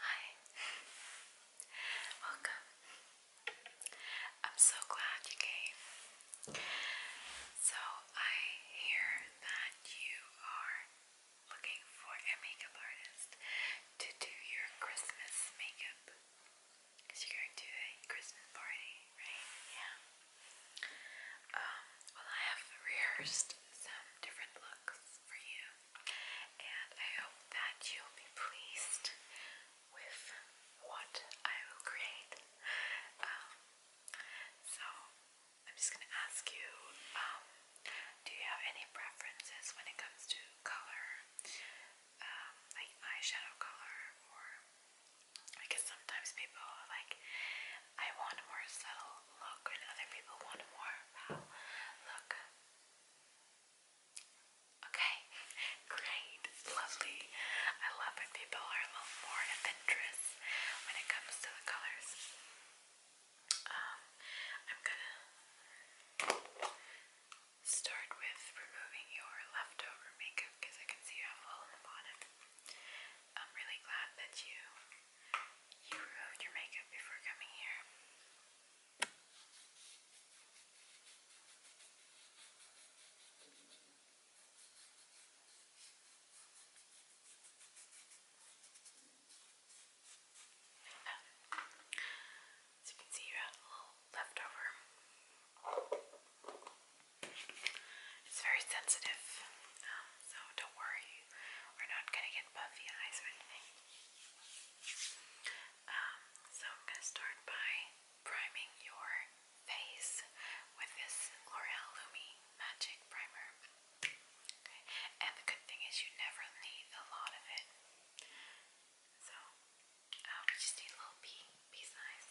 Hi. Welcome. I'm so glad you came. So, I hear that you are looking for a makeup artist to do your Christmas makeup. Because you're going to a Christmas party, right? Yeah. Um, well, I have rehearsed some different looks for you, and I hope that you'll be pleased with what I will create. Um, so, I'm just going to ask you um, do you have any preferences when it comes to color, um, like eyeshadow color, or I sometimes people like I want more subtle look, and other people want more wow look. Okay, great, lovely. I love when people are a little more adventurous when it comes to the colors. Um, I'm gonna start with removing your leftover makeup because I can see you have a little in the I'm really glad that you you removed your makeup before coming here. As you can see, you have a little leftover. It's very sensitive. Um, so don't worry, we're not gonna get puffy eyes or anything. Um, so I'm gonna start by priming your face with this L'Oreal Lumi Magic Primer. And the good thing is you never need a lot of it. So i uh, just need a little pea, pea size.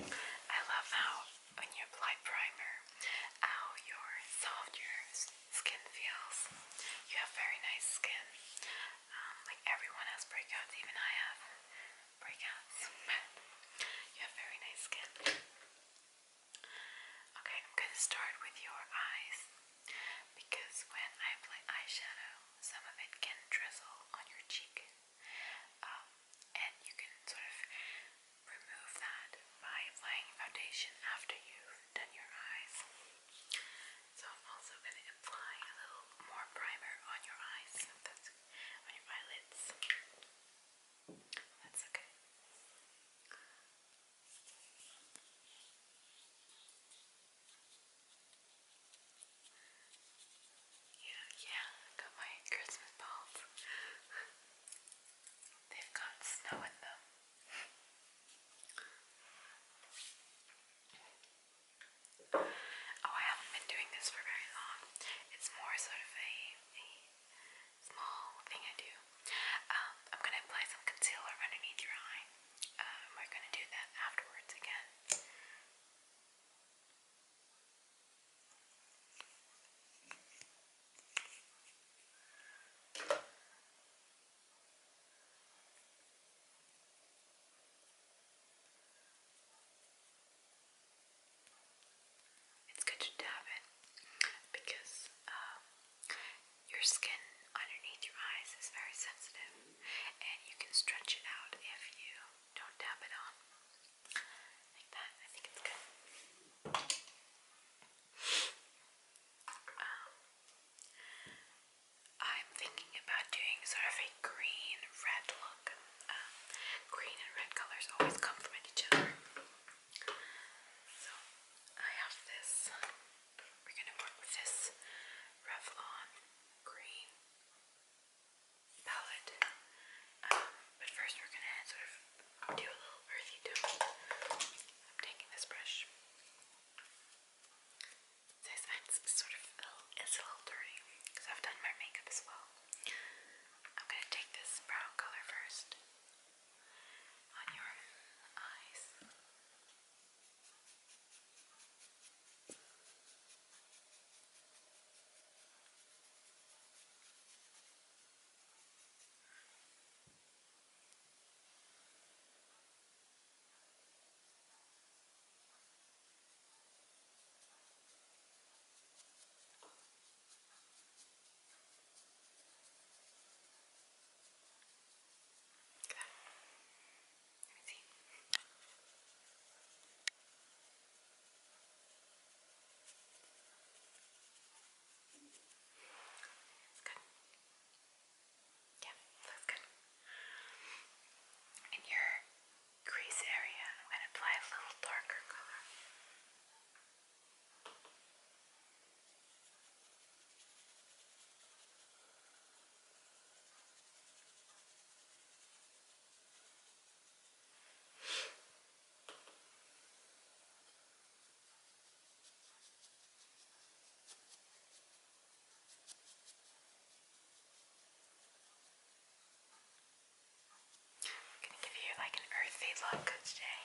I love how when you apply primer, how your soft skin feels. You have very nice skin. Um, like everyone has breakouts, even I have breakouts, you have very nice skin. Okay, I'm going to start with your eyes because when I apply eyeshadow, some of it can drizzle on your cheek, um, and you can sort of remove that by applying foundation after you've done your eyes. So I'm also going to apply a little more primer on your eyes, on your eyelids. That's okay. Yeah, yeah, got my Christmas balls. They've got snow in them. Oh, I haven't been doing this for very long. It's more sort of a, a small thing I do. Um, I'm going to apply some concealer underneath your eye. Um, we're going to do that afterwards again. It's good to dab it because um, your skin underneath your eyes is very sensitive and you can stretch it out if you don't dab it on. Like that, I think it's good. Um, I'm thinking about doing sort of a green red look. Um, green and red colors always complement each other. So I have this. We're gonna work with this Revlon green palette. Um, but first we're gonna do a little earthy tone. I'm taking this brush. This ends sort of it's a little dirty because I've done my makeup as well. I'm going to take this brown color first on your eyes. Okay. Let me see. It's good. Yeah, that's good. And your crease area I'm gonna apply a little darker color. I'm gonna give you like an earthy look today,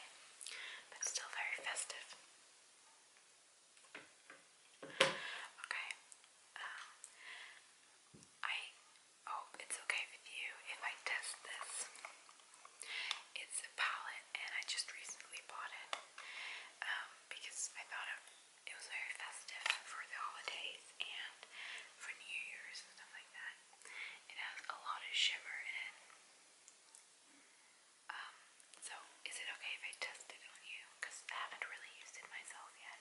but still very festive. Okay. Um, I hope it's okay with you if I test this. It's a palette, and I just recently bought it um, because I thought of it was very festive for the holidays and for New Year's and stuff like that. It has a lot of shimmer in it. Um, so is it okay if I test it on you? Because I haven't really used it myself yet.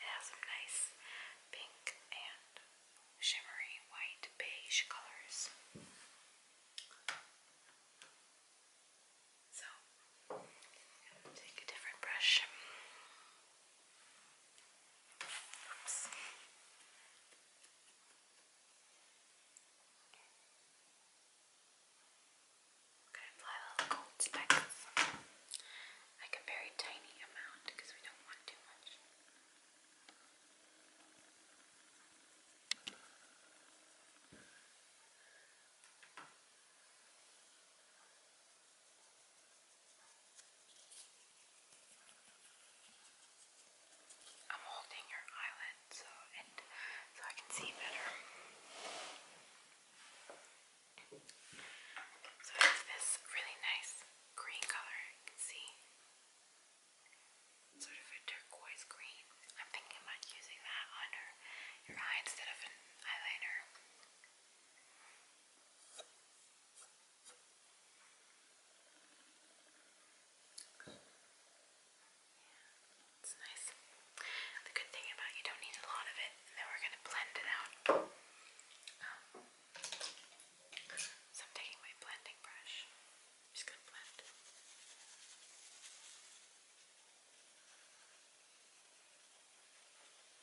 It has some nice pink and shimmery white beige colors. So, take a different brush. Oops. I'm going to apply a little gold specs, like a very tiny amount because we don't want too much. Okay. I'm holding your eyelid so so I can see better. So it's this really nice green color, you can see. Sort of a turquoise green. I'm thinking about using that under your eye instead of an eyeliner. Yeah, it's nice. The good thing about you don't need a lot of it, and then we're gonna blend it out. Um, so I'm taking my blending brush. just gonna blend.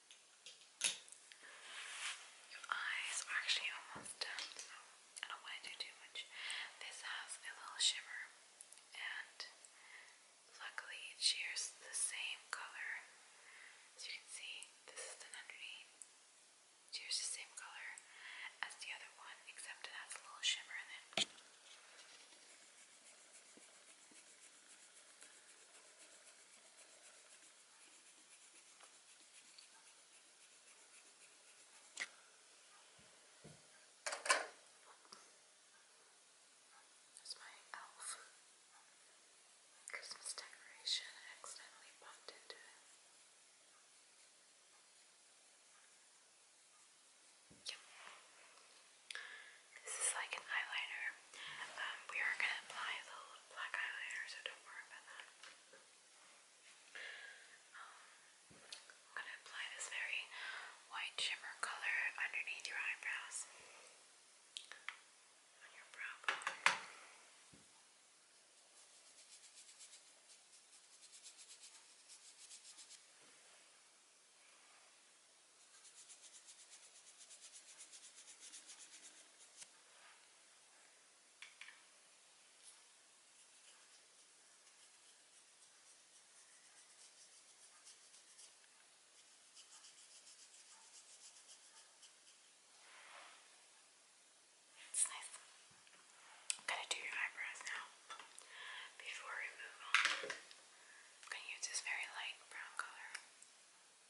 Your eyes are actually almost done, so I don't want to do too much. This has a little shimmer, and luckily it shares the same color. As you can see, this is the underneath. shares the same color as the other one, except it has a little shimmer in it. There's my elf Christmas decoration. accidentally bumped into it. Yep. This is like an eyeliner. Um, we are going to apply the black eyeliner, so don't worry about that. Um, I'm gonna apply this very white shimmer color underneath your eyebrows. On your brow it's nice. I'm gonna do your eyebrows now. Before we move on, I'm gonna use this very light brown color.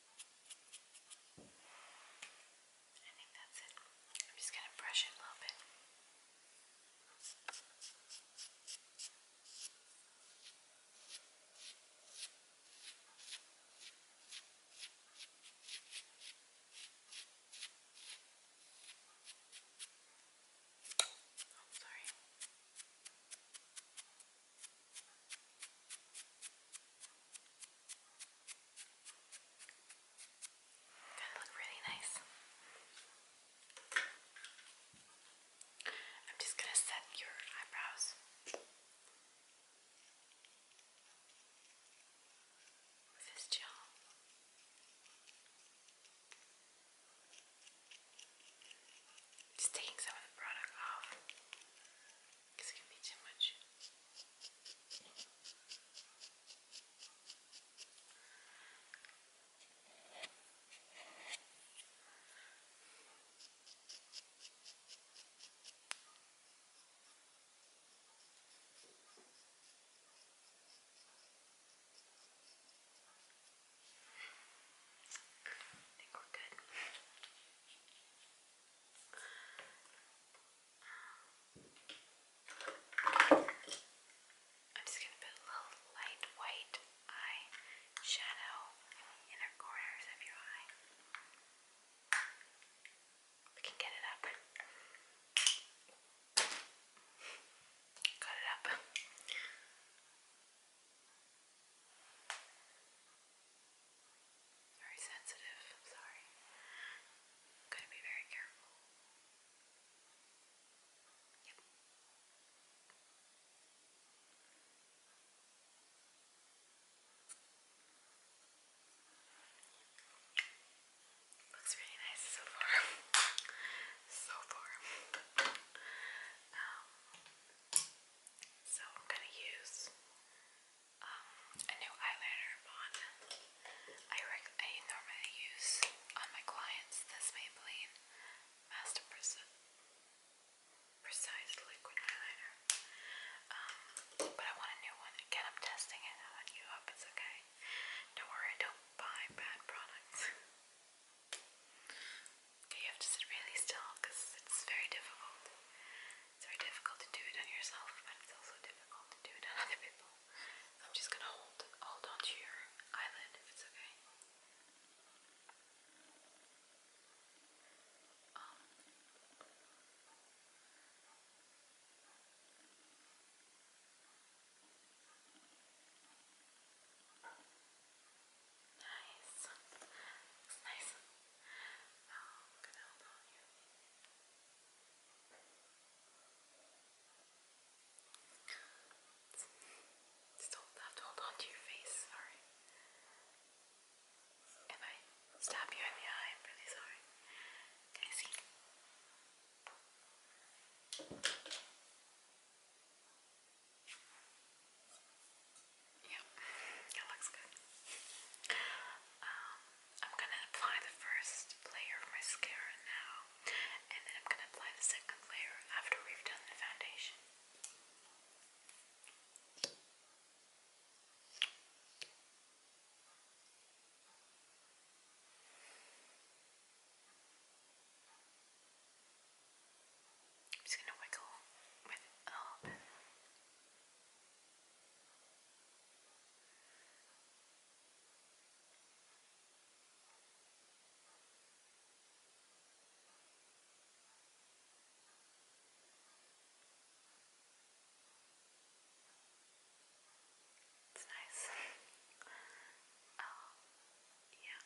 I think that's it. I'm just going to brush it a little bit. Oh, sorry. Gonna look really nice. I'm just gonna set your eyebrows. With this gel. Just taking some of the product off. Because it can be too much. I think we're good. I'm just going to put a little light white eye shadow in the corners of your eye. We can get it up. Cut it up. Very sensitive, I'm sorry. I'm gonna be very careful. Yep. Looks really nice so far. so far. Um, so I'm gonna use um, a new eyeliner I, normally use on my clients this Maybelline Master Preci Precise Liquid Eyeliner. Um, but I want a new one. Again, I'm testing it out on you. Hope it's okay. Don't worry, don't buy bad products. Okay, you have to sit really still because it's very difficult. It's very difficult to do it on yourself, but it's also difficult to do it on other people. So I'm just gonna hold hold on to your eyelid if it's okay. Um, Nice. Looks nice. Oh, I'm gonna hold on here. Still have to hold on to your face, sorry. If I stab you in the eye, I'm really sorry. Can I see? Okay. Yeah, it looks good. Um, I'm gonna apply the first layer of mascara now, and then I'm gonna apply the second layer after we've done the foundation. I'm just going to wiggle with a little bit. It's nice. oh, yeah.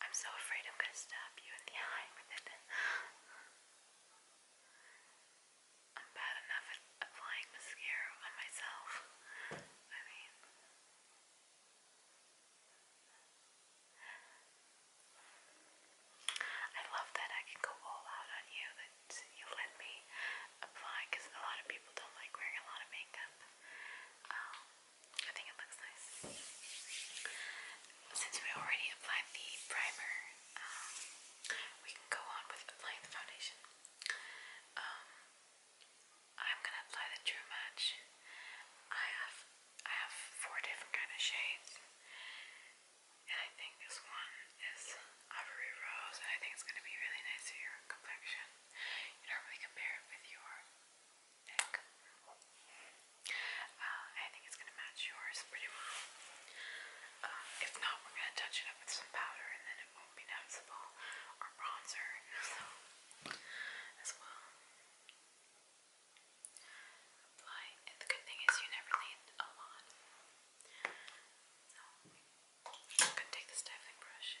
I'm so afraid I'm going to stab you in the eye I'm bad enough at applying mascara on myself. I mean, I love that I can go all out on you, that you let me apply, because a lot of people don't like wearing a lot of makeup. Um, I think it looks nice. Since we already applied the primer, um, we can go on with applying the foundation. Um, I'm gonna apply the True Match. I have I have four different kind of shades, and I think this one is Ivory Rose, and I think it's gonna be really nice for your complexion. You don't really compare it with your neck. Uh, I think it's going to match yours pretty well. Uh, if not, we're going to touch it up with some powder and then it won't be noticeable or bronzer so, as well. the good thing is you never need a lot. I'm going to take the styling brush.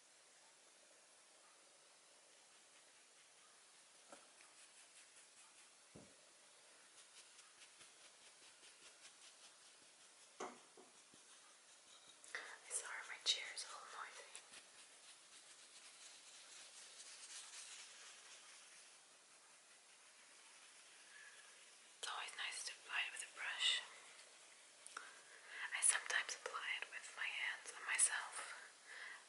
I sorry my chair is a little It's always nice to apply with a brush. I sometimes apply it with my hands on myself,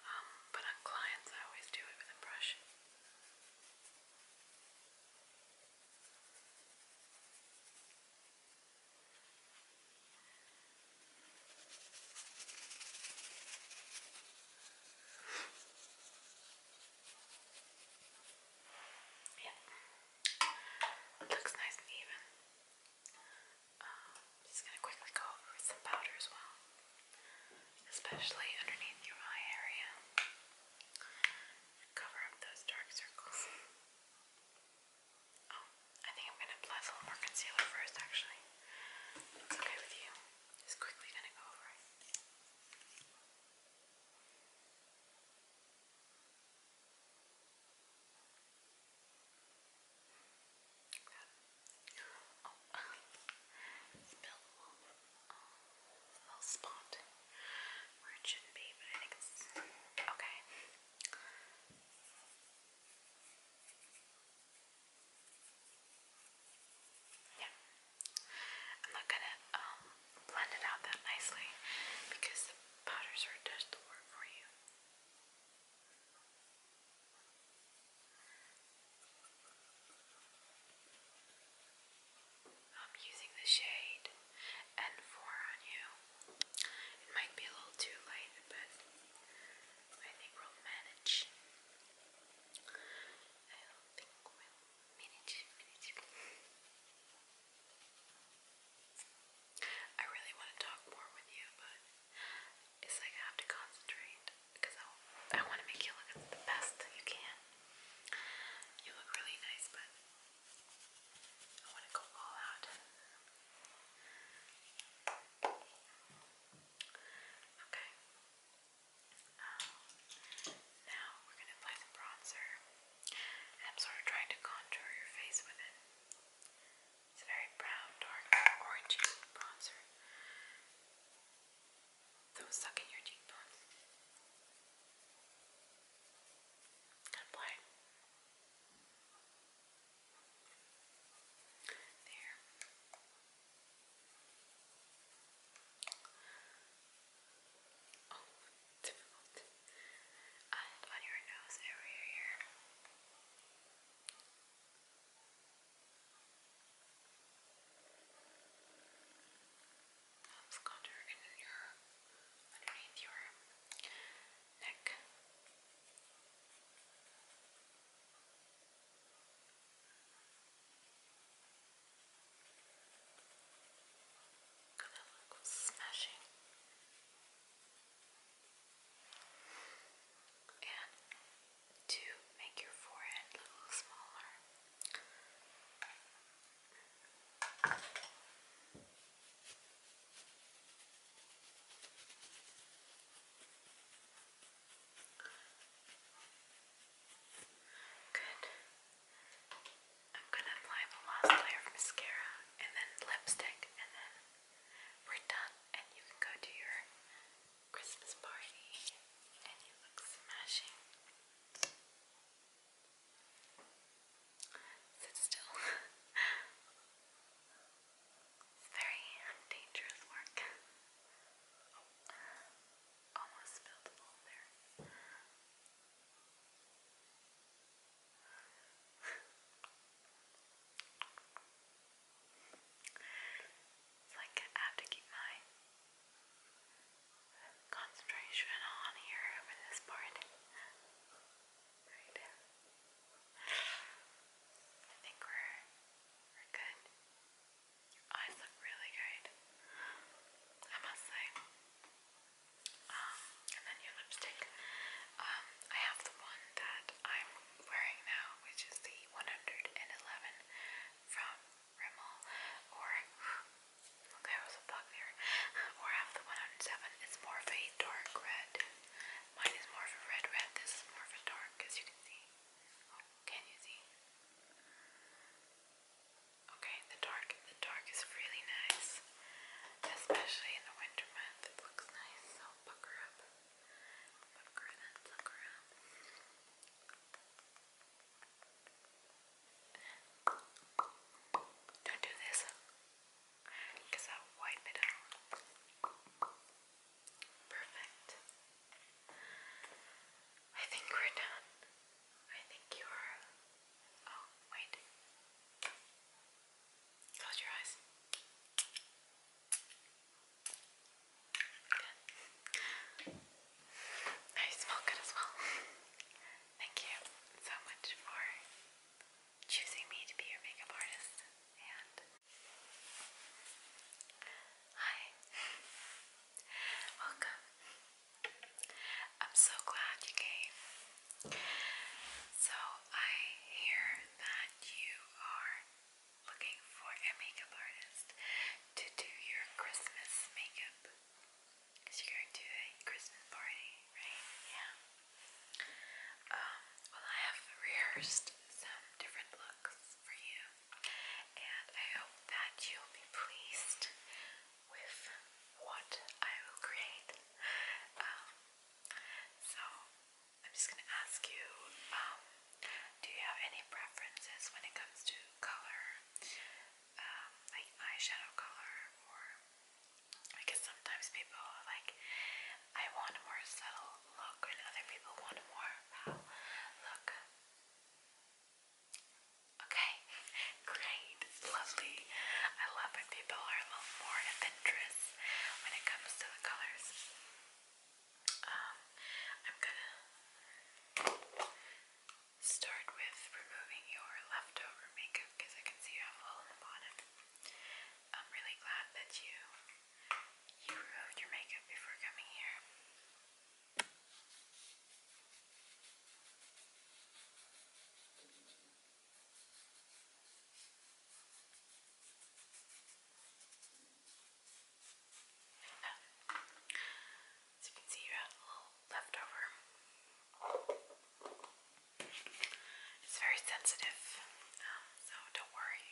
um, but on clients I always do it with a brush. yeah, it looks nice and even. Um, just gonna quickly go over some powder as well, especially underneath your eye area. Cover up those dark circles. Oh, I think I'm gonna apply a little more concealer first, actually. It's okay with you. Just quickly gonna go over it. Oh, little spot where it shouldn't be, but I think it's okay. Yeah. I'm not gonna blend it out that nicely because the powders are does the work for you. I'm using the shade N4 on you. It might be a little too light, but I think we'll manage. I do we'll manage. manage. I really want to talk more with you, but it's like I have to concentrate because I, want to make you look the best you can. You look really nice, but I want to go all out. Okay. Um, now we're going to apply some bronzer. I'm sort of trying to contour your face with it. It's a very brown, dark, orangey bronzer. Those suck in your cheekbones. apply There. Oh, on your nose area here. That's got her in your underneath your neck. Gonna look smashing. And to make your forehead a little smaller. Good. I'm going to apply the last layer of mascara and then lipstick and then we're done, and you can go to your Christmas party, and you look smashing. Sit still. it's very dangerous work. almost spilled the there. It's like I have to keep my concentration on here for this part. I think we're we're good. Your eyes look really great. I must say. Um, and then your lipstick. Um, I have the one that I'm wearing now, which is the 111 from Rimmel, or there was a bug there, or half the 107. It's more of a dark red. Mine is more of a red red. This is more of a dark, as you can see. Oh, you see? Okay, the dark. The dark is really nice, especially in the winter month. It looks nice. So bucker up. Don't do this, because I'll wipe it out. Perfect. I think we're done. I think you are. Oh, wait. Close your eyes you smell good as well. Thank you so much for choosing me to be your makeup artist. And hi. Welcome. I'm so glad you came. So I hear that you are looking for a makeup artist to do your Christmas makeup. Because you're going to a Christmas party, right? Yeah. Um, well, I have rehearsed some different looks for you, and I hope that you'll be pleased with what I will create. Um, so, I'm just gonna ask you, um, do you have any preferences when it comes to color, um, like eyeshadow color, or because sometimes people like, I want a more subtle look, and other people want a more look. Okay, great, lovely. I love when people are a little more adventurous when it comes to the colors. Um, I'm gonna start with removing your leftover makeup because I can see you have a little in the bottom. I'm really glad that you you removed your makeup before coming here. As you can see, you have a little leftover. It's very sensitive, so don't worry,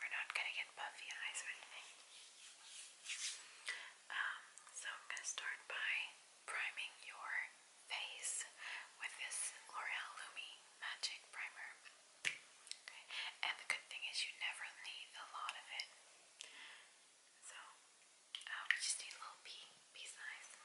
we're not going to get puffy eyes or anything. Um, so I'm going to start by priming your face with this L'Oreal Lumi Magic Primer. Okay. And the good thing is you never need a lot of it. So um, we just need a little pea, pea size. Okay,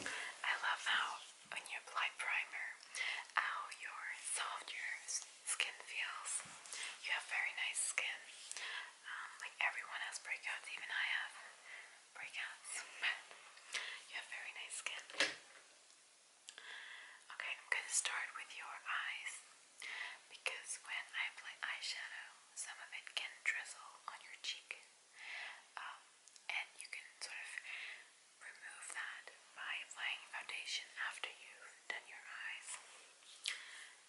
I love how when you apply primer, how your soft your skin feels. You have very nice skin. Um, like everyone has breakouts, even I have breakouts. you have very nice skin. Okay, I'm gonna start with your eyes because when I apply eyeshadow, some of it can drizzle on your cheek. Um, and you can sort of remove that by applying foundation after you've done your eyes.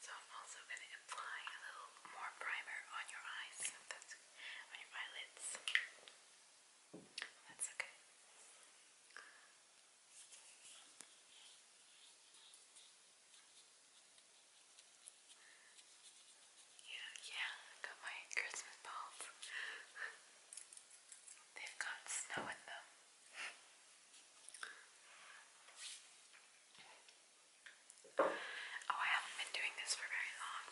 So I'm also going to apply a little more primer on your eyes, on your eyelids. That's Okay. Yeah, yeah, got my Christmas balls. They've got snow in them. Oh, I haven't been doing this for very long.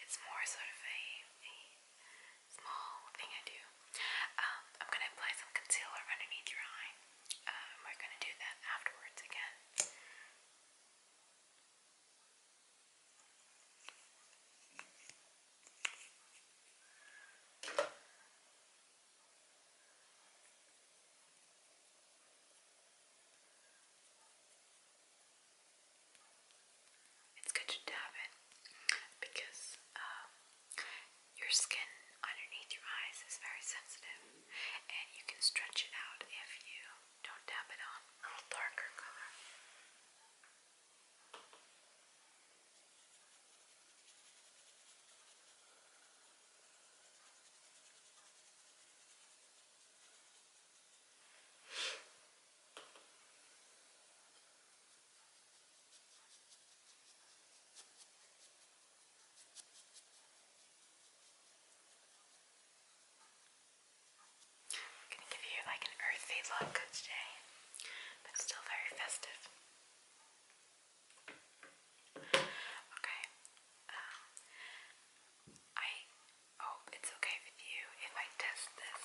It's more sort of a, small thing I do. Um, I'm going to apply some concealer underneath your eye. Um, we're going to do that afterwards again. It's good to dab it because um, your skin underneath your eyes is very sensitive and you can stretch it out if you don't dab it on. A little darker color. I'm gonna give you like an earthy look today, but still very festive. Okay. Um, I hope it's okay with you if I test this.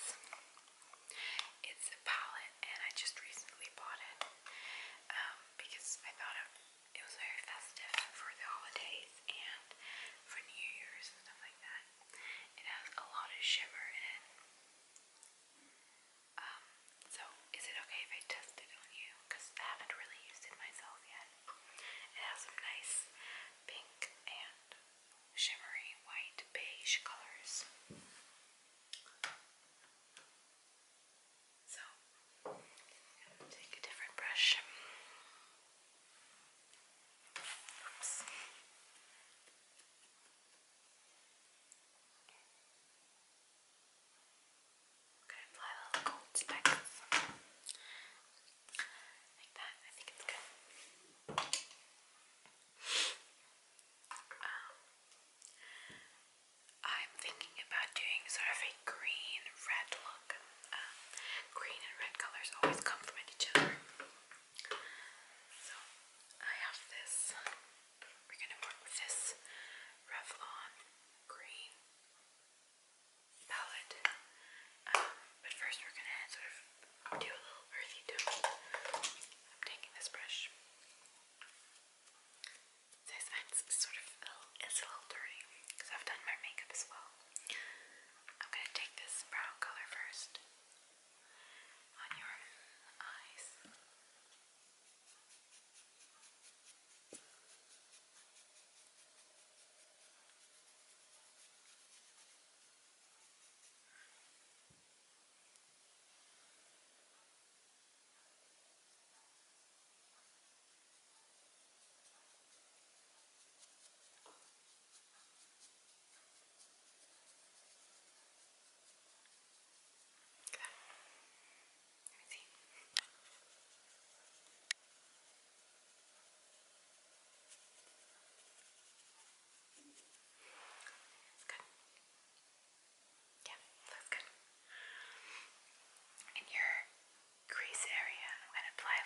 It's a palette, and I just recently bought it um, because I thought it was very festive for the holiday and for New Year's and stuff like that. It has a lot of shimmer in it. Um, so is it okay if I test it on you? Because I haven't really used it myself yet. It has some nice pink and shimmery white beige colors. So, take a different brush. Oops. Gonna apply a little gold speckles like that. I think it's good. Um, I'm thinking about doing sort of a green red look. Um, green and red colors always complement each other. So I have this. We're gonna work with this Revlon green palette. Um, but first we're gonna sort of do a little earthy tone. I'm taking this brush. This ends sort of it's a little dirty because I've done my makeup as well. I'm going to take this brown color first on your eyes. Okay. Good. Let me see. Good. Yeah, that's good. In your crease area, I'm going to apply a